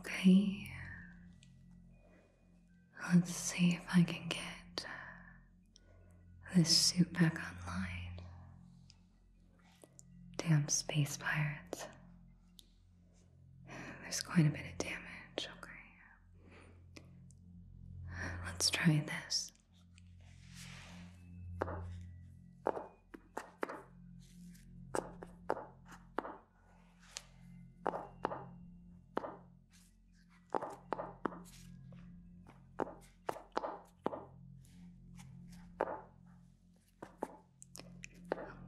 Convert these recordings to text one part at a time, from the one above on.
Okay. Let's see if I can get this suit back online. Damn space pirates. There's quite a bit of damage, okay. Let's try this.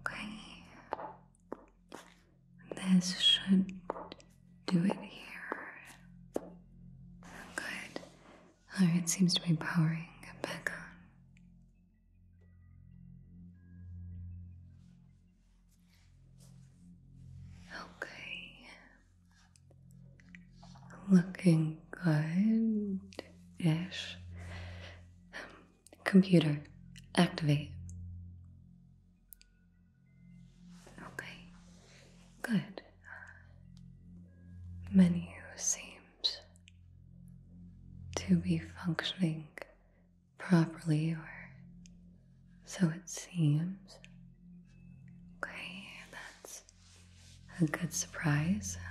Okay. This should do it here. Good. Alright, seems to be powering back on. Okay. Looking good ish. Computer, activate. Okay, good. Menu seems to be functioning properly, or so it seems. Okay, that's a good surprise. Um,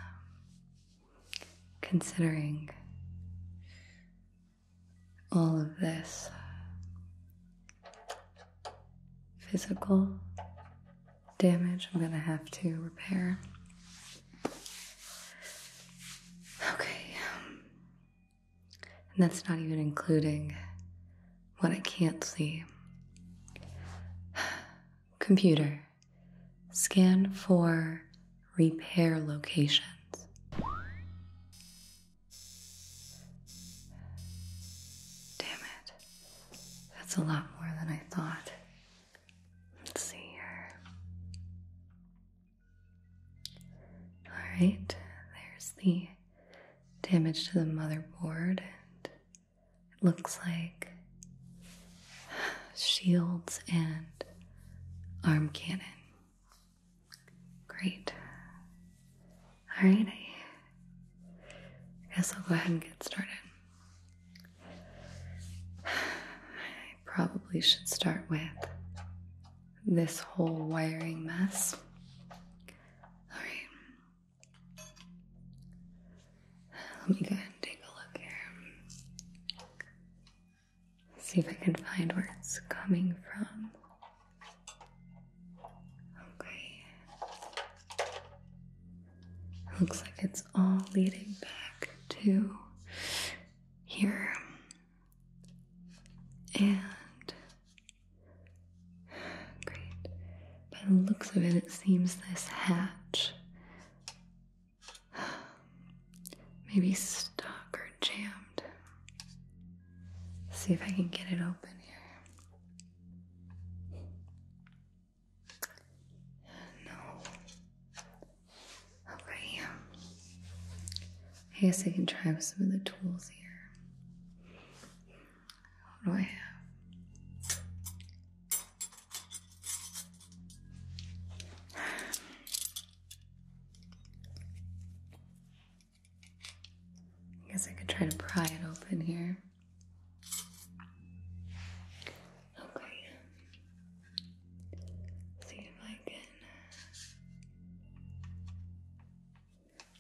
considering all of this physical damage I'm going to have to repair. Okay. Um, and that's not even including what I can't see. Computer scan for repair locations. Damn it. That's a lot more than I thought. Let's see here. Alright, there's the damage to the motherboard, and it looks like shields and arm cannon. Great. All right, I guess I'll go ahead and get started. I probably should start with this whole wiring mess. All right. Let me go ahead and take a look here. See if I can find where it's coming from. Okay. Looks like it's all leading back to here. And great. By the looks of it, it seems this hatch Maybe stuck or jammed. see if I can get it open here. No. Okay. I guess I can try with some of the tools here. What do I have? I guess I could try to pry it open here. Okay. see if I can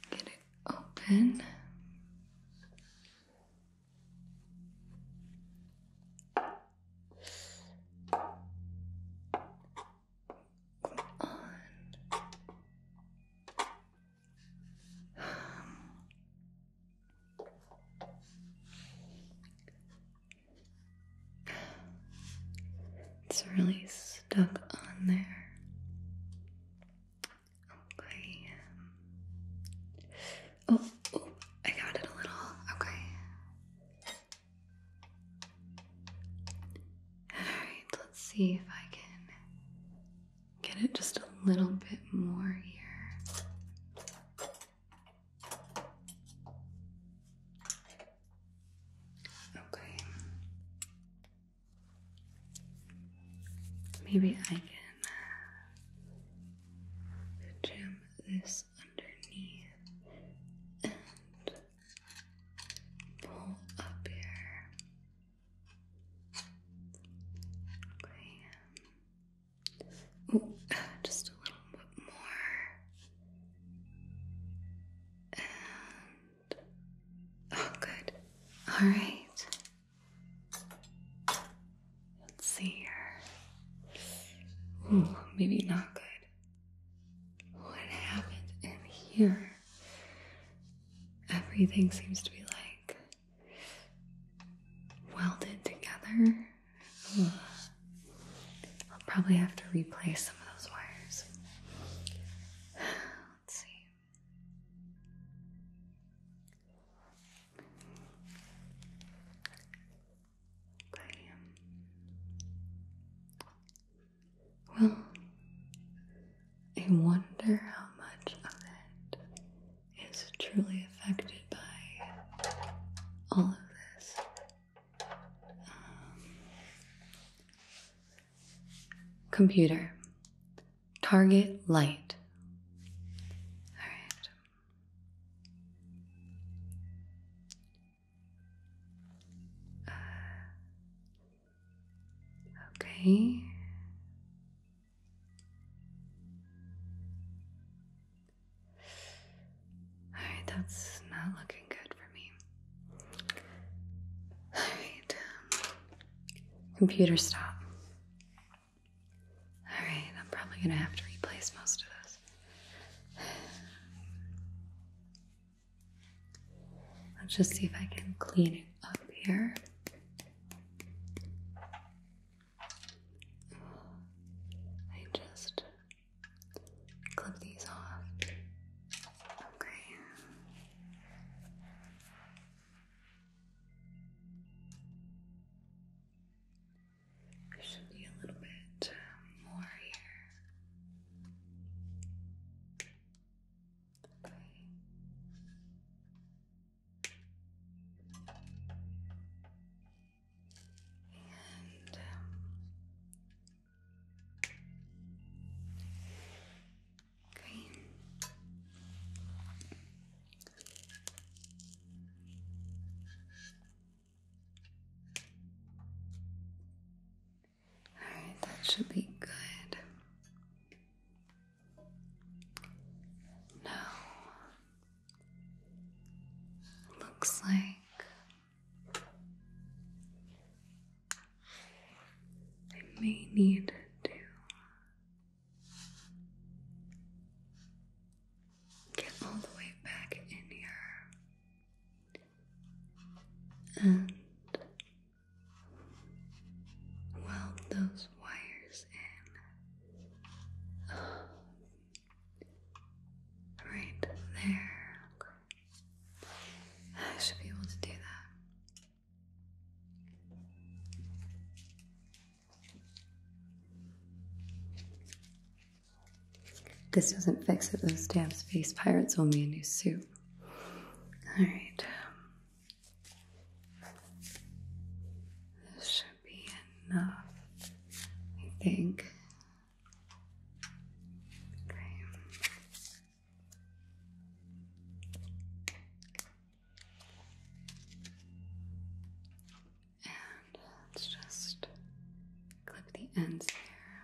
get it open on. It's really stuck on there. Okay. Oh, oh, I got it a little. Okay. Alright, let's see if I can get it just a little bit more here. Okay. Maybe I can jam this underneath and pull up here. Okay. Ooh, just a little bit more. And oh, good. All right. Let's see here. Ooh, maybe not good what happened in here? Everything seems to be like welded together. I'll probably have to replace some of those wires. Let's see. Well, I wonder how much of it is truly affected by all of this. Um, computer. Target light. Alright okay. Alright, that's not looking good for me. Alright. Um, computer stop. Alright, I'm probably gonna have to replace most of this. Let's just see if I can clean it up here. I just clip these off. Okay. There should be a little bit um, more here. Okay. And um, Alright, that should be good. No. Looks like I may need to get all the way back in here and weld those wires in right there. I should be able to do that. This doesn't fix it, those stabs face pirates owe me a new suit. Alright. This should be enough, I think. Okay. And let's just clip the ends here.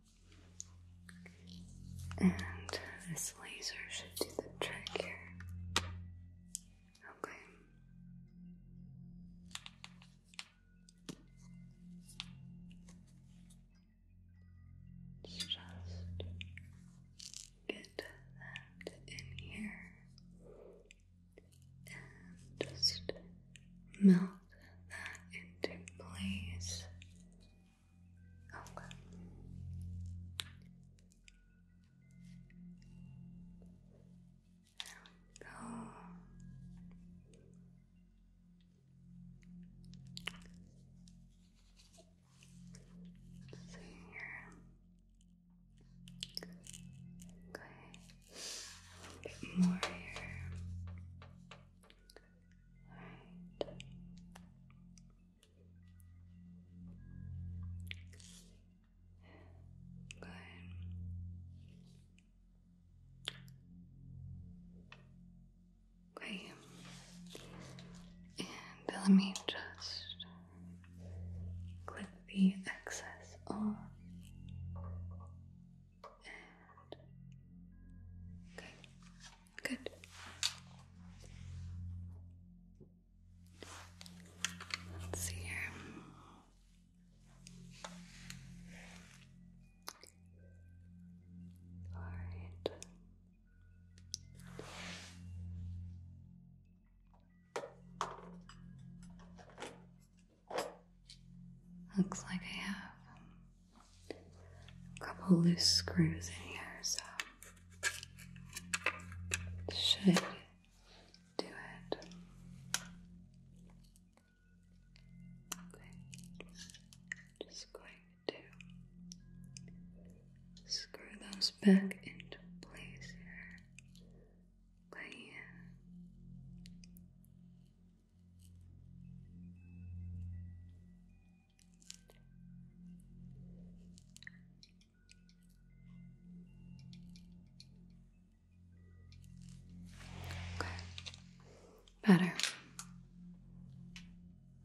And this laser should do the trick here. Okay. just get that in here and just melt that into place. Okay. There go. let here. Okay. A little bit more here. Good. Okay. And let me just clip the excess off. okay. Good. Let's see here. All right. Looks like I have a couple loose screws in here, so should do it. Just going to screw those back into place here. Okay. Okay. Better.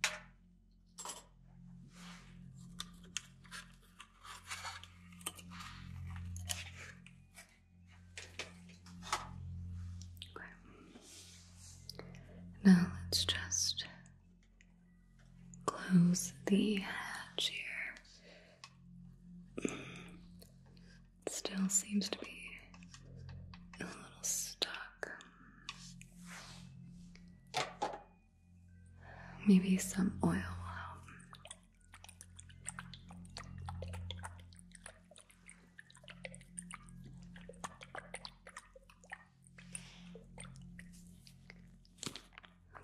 Okay. Now let's just close the hatch here. Still seems to be a little stuck. Maybe some oil will help.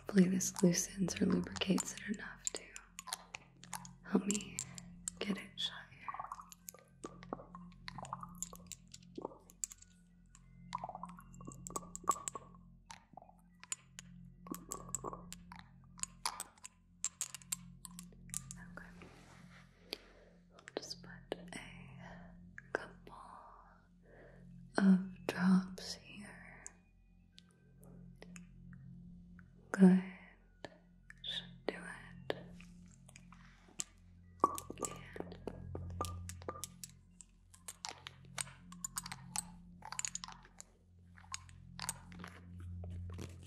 Hopefully this loosens or lubricates it enough to help me get it shut here just put a couple of drops here. Good. Should do it.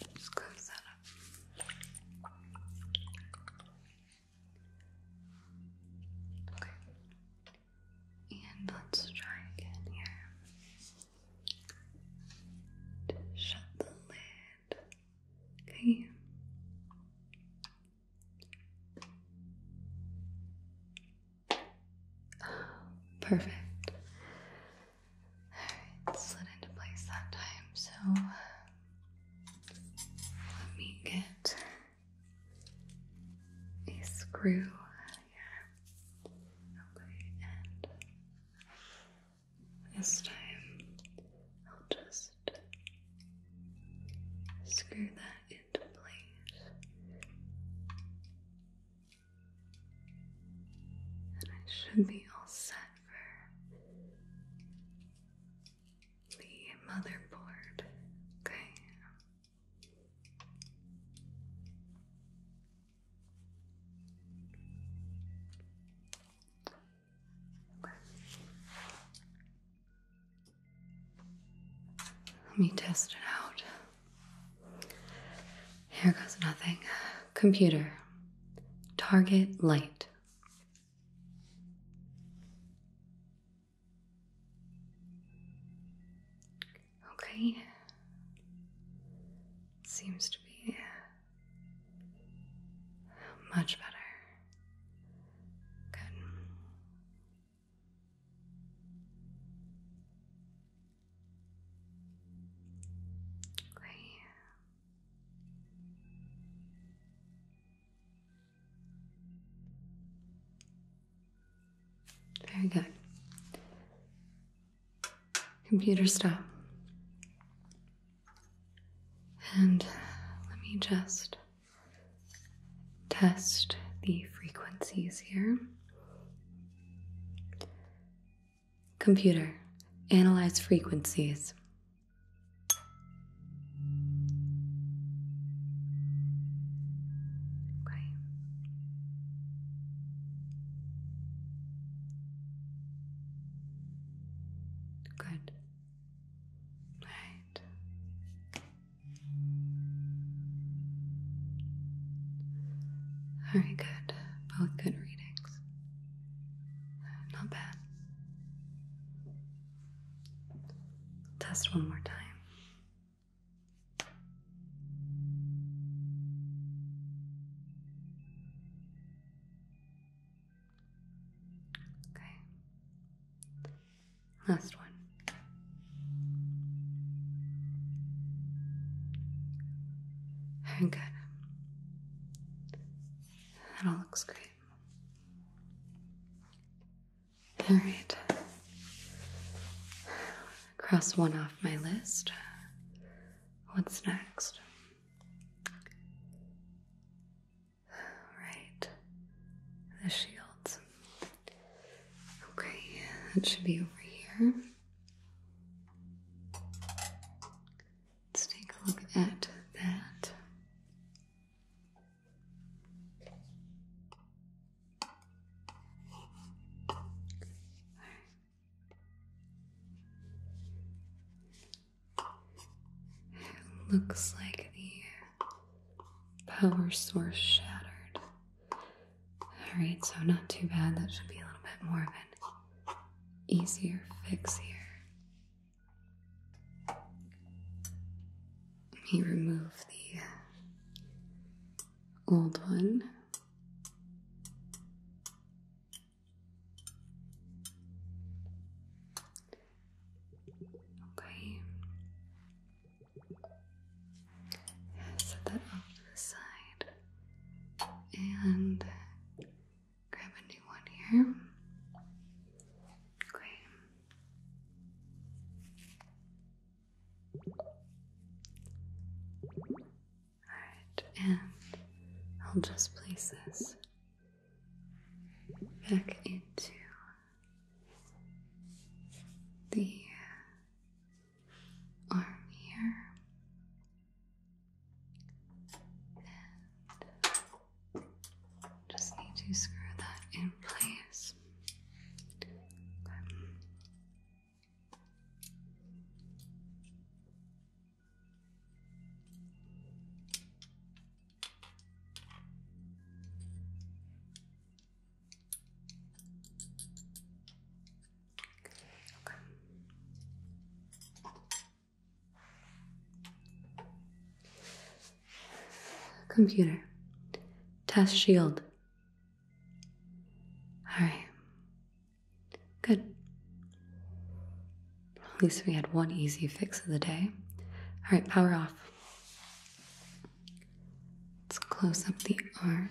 And close that up. Okay. And let's try again here. shut the lid. Okay. perfect. Alright, slid into place that time. So let me get a screw Okay, and this time I'll just screw that into place. And I should be all set for the motherboard. Okay. Let me test it out. Here goes nothing. Computer. Target light. Okay. Seems to be much better. Good. Okay. Very good. Computer stop. And let me just test the frequencies here. Computer, analyze frequencies. Okay. Good. Right. Very good. Both good readings. Not bad. Test one more time. Okay. Last one. Very good. That all looks great. All right. Cross one off my list. What's next? Right. The shields. Okay, that should be over here. Let's take a look at that. It looks like the power source shattered. Alright, so not too bad. That should be a little bit more of an easier fix here. Let me remove the uh, old one. Okay. Set that off to the side and uh, grab a new one here. Okay. Alright, and I'll just place this back into the arm here. Just need to screw that in place. Okay. Okay. Computer. Test shield. Alright. Good. At least we had one easy fix of the day. Alright, power off. Let's close up the arm.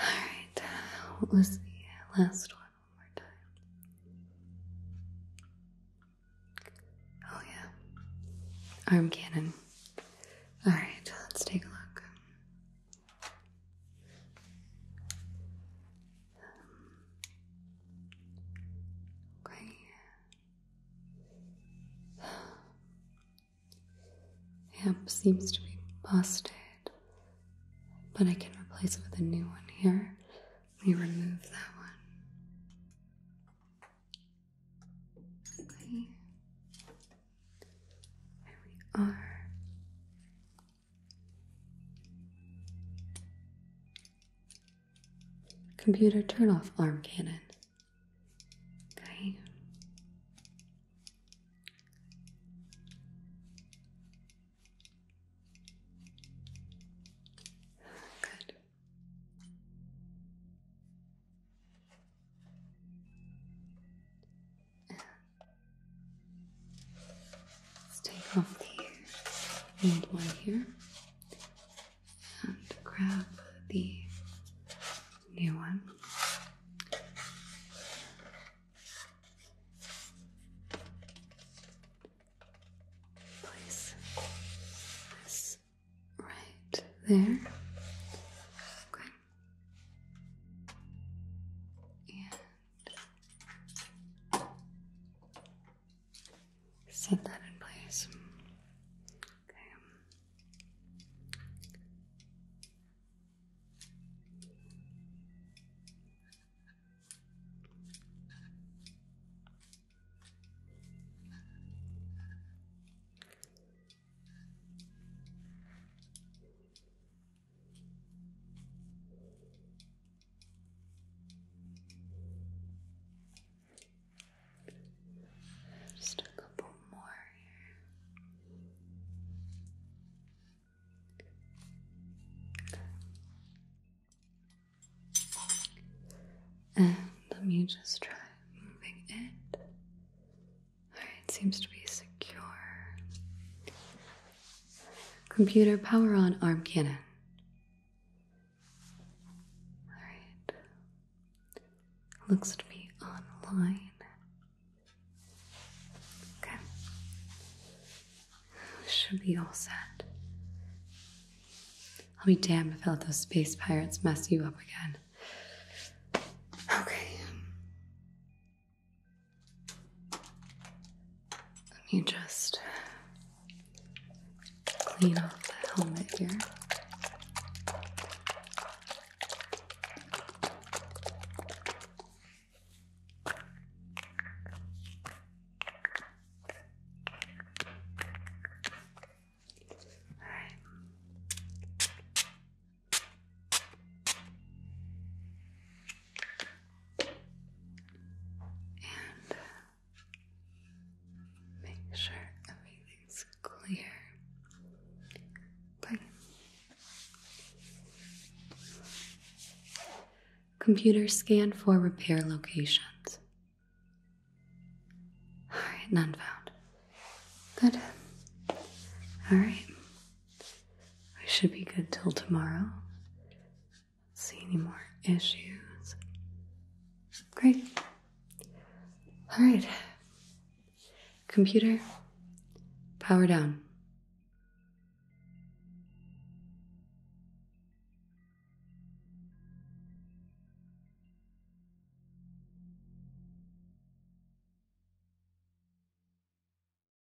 Alright, uh, what was the last one? One more time. Oh, yeah. Arm cannon. Alright, let's take a look. The Amp seems to be busted, but I can replace it with a new one here. Let me remove that one. Okay. we are. Computer turn off arm cannon. Okay. Good. Let's take off the old one here and grab the new one. Place this right there. Okay set that in place. Okay. Just a couple more here. And let me just try moving it. Alright, seems to be secure. Computer power on arm cannon. Alright. Looks to be online. Okay. Should be all set. I'll be damned if I let those space pirates mess you up again. Okay. Let me just clean off the helmet here. All right. And make sure everything's clear. Okay. Computer scan for repair locations. none found. Good. Alright, I should be good till tomorrow. See any more issues? Great. All right. Computer, power down.